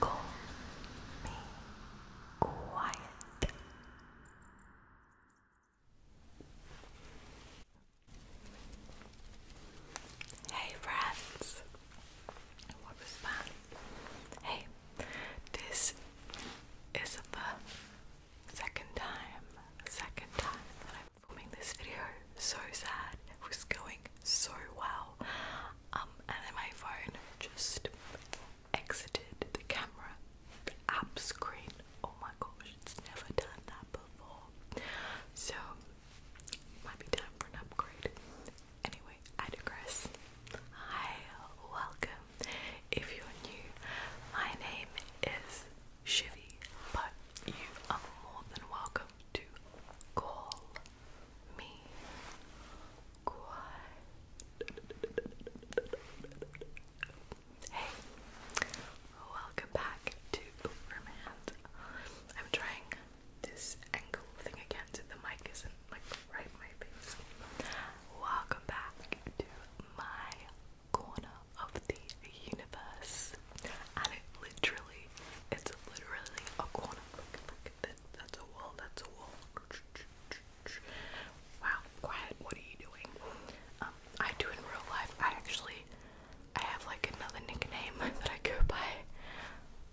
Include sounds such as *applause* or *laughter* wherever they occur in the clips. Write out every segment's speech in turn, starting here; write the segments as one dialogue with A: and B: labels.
A: Call me quiet. Hey friends, what was that? Hey, this is the second time, second time filming this video so sad. It was going so well. Um, and then my phone just exited the camera app screen. Oh my gosh, it's never done that before. So it time for an upgrade. Anyway, I digress. Hi, welcome. If you're new, my name is Shivy, but you are more than welcome to call me Hey, welcome back to Romance. I'm trying this angle thing again, the mic isn't like right in my face. Welcome back to my corner of the universe this, and it literally, it's literally a corner. Look, look, that, that's a wall, that's a wall. Wow, quiet, what are you doing? Um, I do in real life, I actually, I have like another nickname *laughs* that I go by,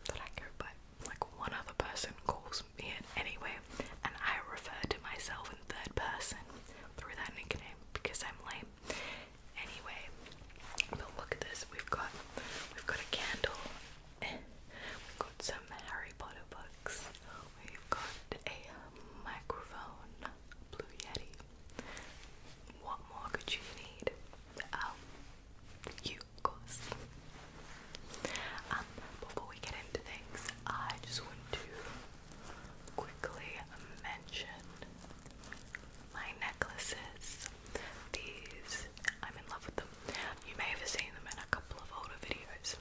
A: that I go by, like one other person calls me it anyway, and I refer to myself in third person through that nickname because I'm lame. Anyway, but look at this. We've got we've got a candle. Eh, we've got some Harry Potter books. We've got a microphone, Blue Yeti. What more could you need? Um, you, of course. Um, before we get into things, I just want to quickly mention my necklaces. These, I'm in love with them. You may have seen them in a couple of older videos,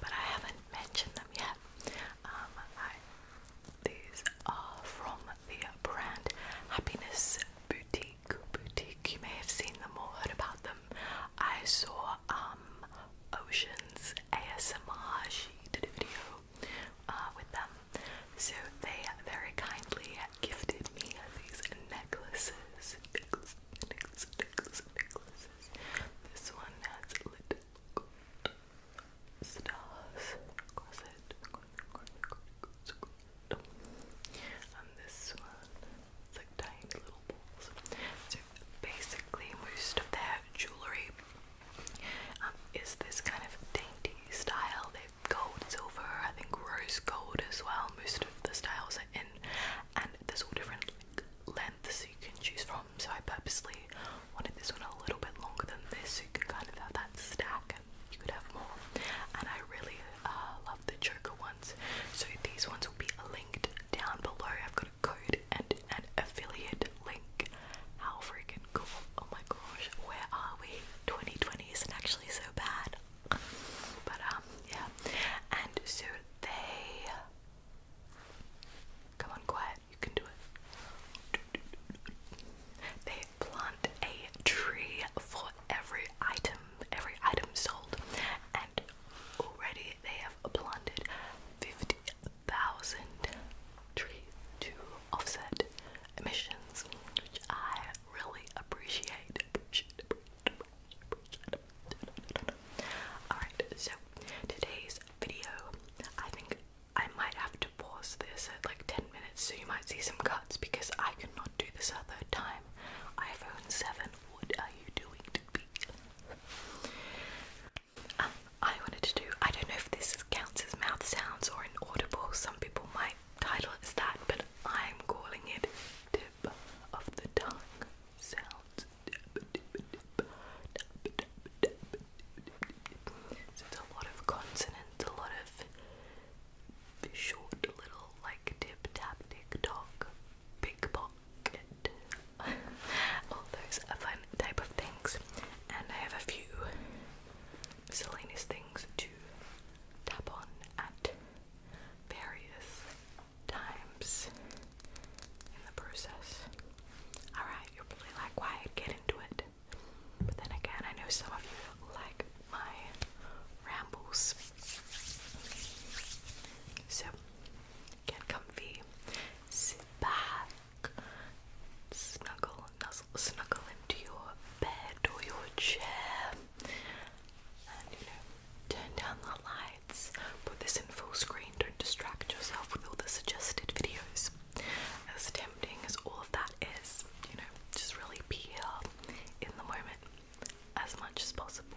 A: but I haven't mentioned them yet. Um, these are from the brand Happiness Boutique. Boutique. You may have seen them or heard about them. I saw um, Ocean's ASMR. She did a video uh, with them. So they very kindly gifted me these necklaces. This one has little gold stars And this one, it's tiny little balls. So basically, most of their jewelry um, is this kind of dainty style gold, silver, I think rose gold as well. Most of the styles are in, and there's all different lengths you can choose from. So I purposely wanted this one a little bit longer than this, so you can kind of have that stack. And you could have more, and I really uh, love the choker ones. So these ones will be linked down below. I've got a code and an affiliate link. How freaking cool! Oh my gosh, where are we? 2020 isn't actually so bad. But um, yeah. And so they come on quiet, you can do it. They plant a tree for every item, every item sold, and already they have planted 50,000 trees to offset emissions, which I really appreciate. appreciate, Alright, so today's video, I think I might have to pause this at like 10 minutes so you might see some cuts because I cannot do this a third time. iPhone 7, what are you doing um, I wanted to do, I don't know if this counts as mouth sounds or inaudible, some people might title is that, but I'm calling it Tip of the Tongue Sounds. So it's a lot of consonants, a lot of short little like tip tap tick tock, pickpocket, all those are fun type of things. And I have a few miscellaneous things to tap on at various times in the process. Alright, you're probably like, why get into it? But then again, I know some of you like my rambles. So, get comfy, sit back, snuggle, nuzzle, snuggle into your bed or your chair and you know turn down the lights put this in full screen don't distract yourself with all the suggested videos as tempting as all of that is you know just really be here in the moment as much as possible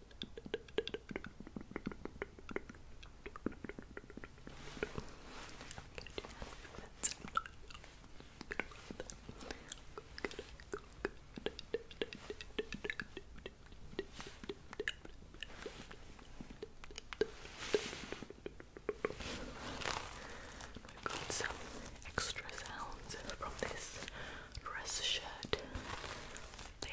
A: We've got some extra sounds from this dress shirt thing.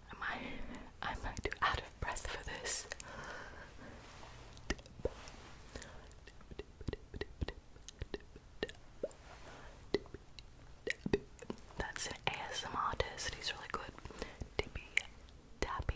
A: I I might do out of breath for this. That's an ASM artist. He's really good. Dippy, tappy.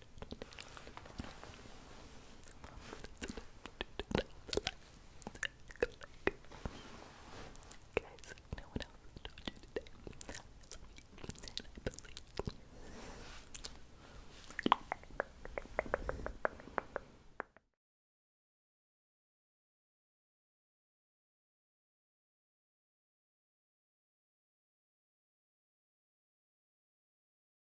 A: Guys, no one else has told you today. I love you.